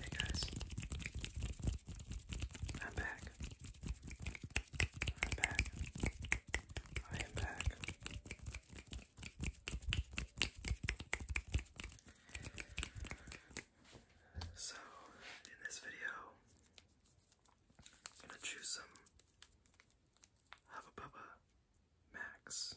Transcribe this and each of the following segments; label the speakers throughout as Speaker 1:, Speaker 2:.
Speaker 1: Hey guys, I'm back. I'm back. I am back. So, in this video, I'm gonna choose some Hubba Bubba Max.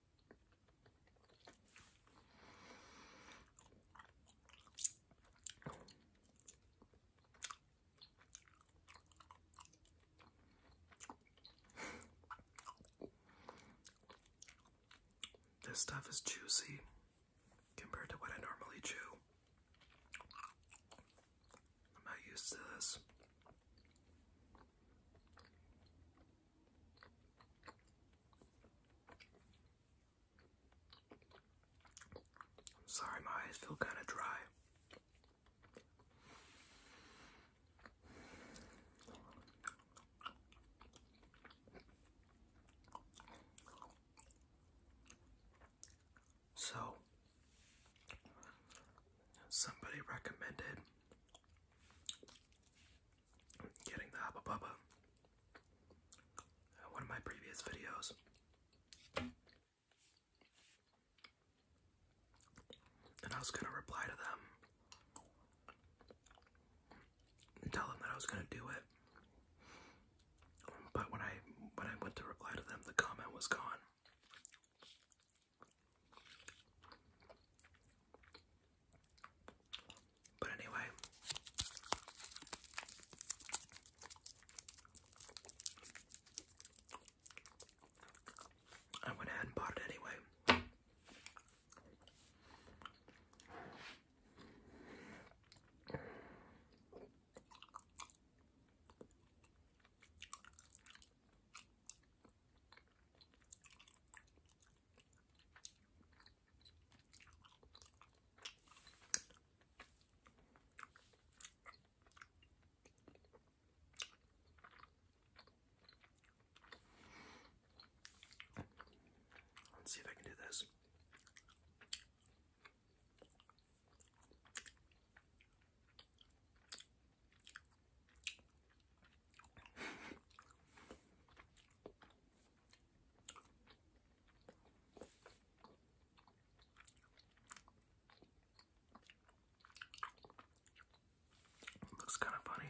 Speaker 1: This stuff is juicy compared to what I normally chew. I'm not used to this. Sorry, my eyes feel kind of dry. So, somebody recommended getting the Hubba Bubba. Uh, one of my previous videos. And I was gonna reply to them and tell them that I was gonna do it. But when I when I went to reply to them, the comment was gone. But anyway, I went ahead and bought it anyway. Let's see if I can do this. Looks kind of funny.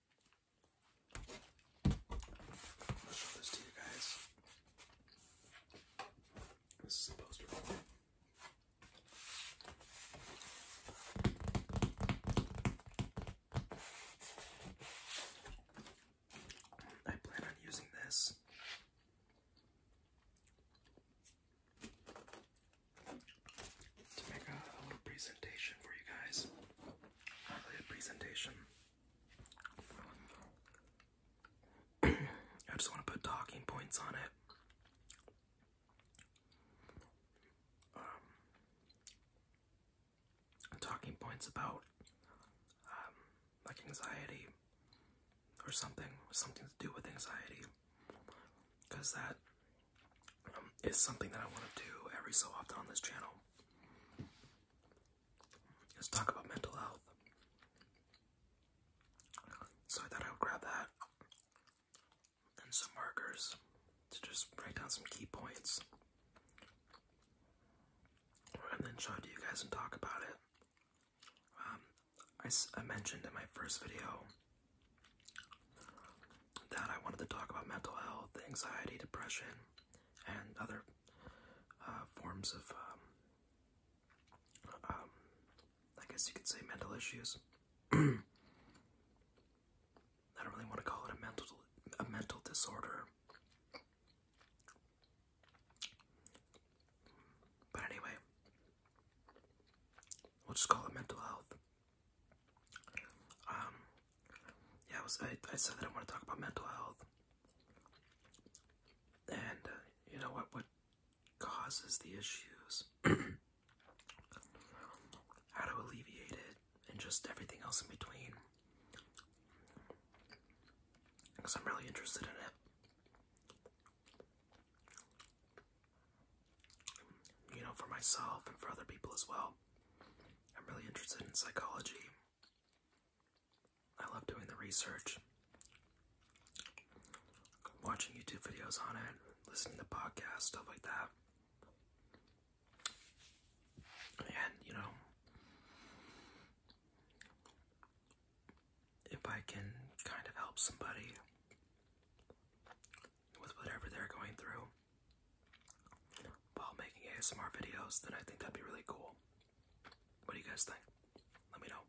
Speaker 1: I'll show this to you guys. This is a poster for it. I plan on using this to make a, little presentation for you guys. a presentation. I just want to put talking points on it. Um, talking points about um, like anxiety or something, something to do with anxiety, because that um, is something that I want to do every so often on this channel. Is talk about mental health. So I thought I would grab that and some markers to just write down some key points, and then show it to you guys and talk about it. Um, I, I mentioned in my first video that I wanted to talk about mental health, anxiety, depression, and other uh, forms of, um, um, I guess you could say, mental issues. I don't really want to call it a mental a mental disorder. But anyway, we'll just call it mental health. Um, yeah, I was I, I said that I want to talk about mental health, and uh, you know what what causes the issues, how to alleviate it, and just everything else in between. Because I'm really interested in it you know, for myself and for other people as well. I'm really interested in psychology. I love doing the research, watching YouTube videos on it, listening to podcasts, stuff like that. And, you know, if I can kind of help somebody with whatever they're going through while making ASMR videos, then I think that'd be really cool. What do you guys think? Let me know.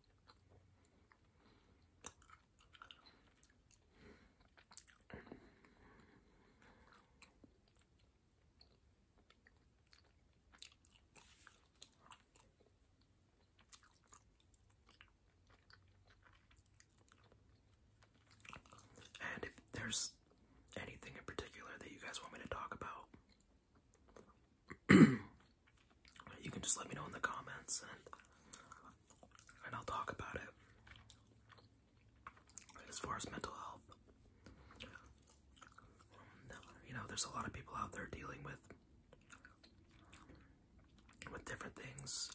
Speaker 1: And if there's anything in particular that you guys want me to talk about, you can just let me know in the comments and and I'll talk about it. As far as mental health, um, you know, there's a lot of people out there dealing with with different things,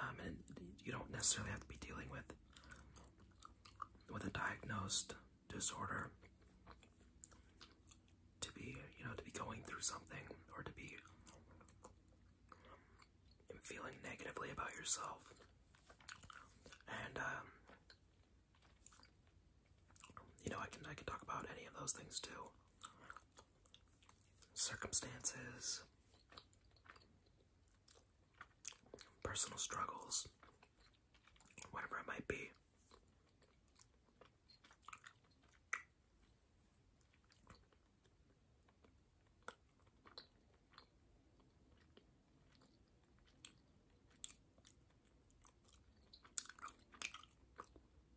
Speaker 1: um, and you don't necessarily have to be dealing with with a diagnosed disorder to be, you know, to be going through something or to be feeling negatively about yourself. And um, you know, I can I can talk about any of those things too circumstances, personal struggles, whatever it might be.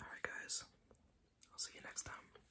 Speaker 1: All right, guys. I'll see you next time.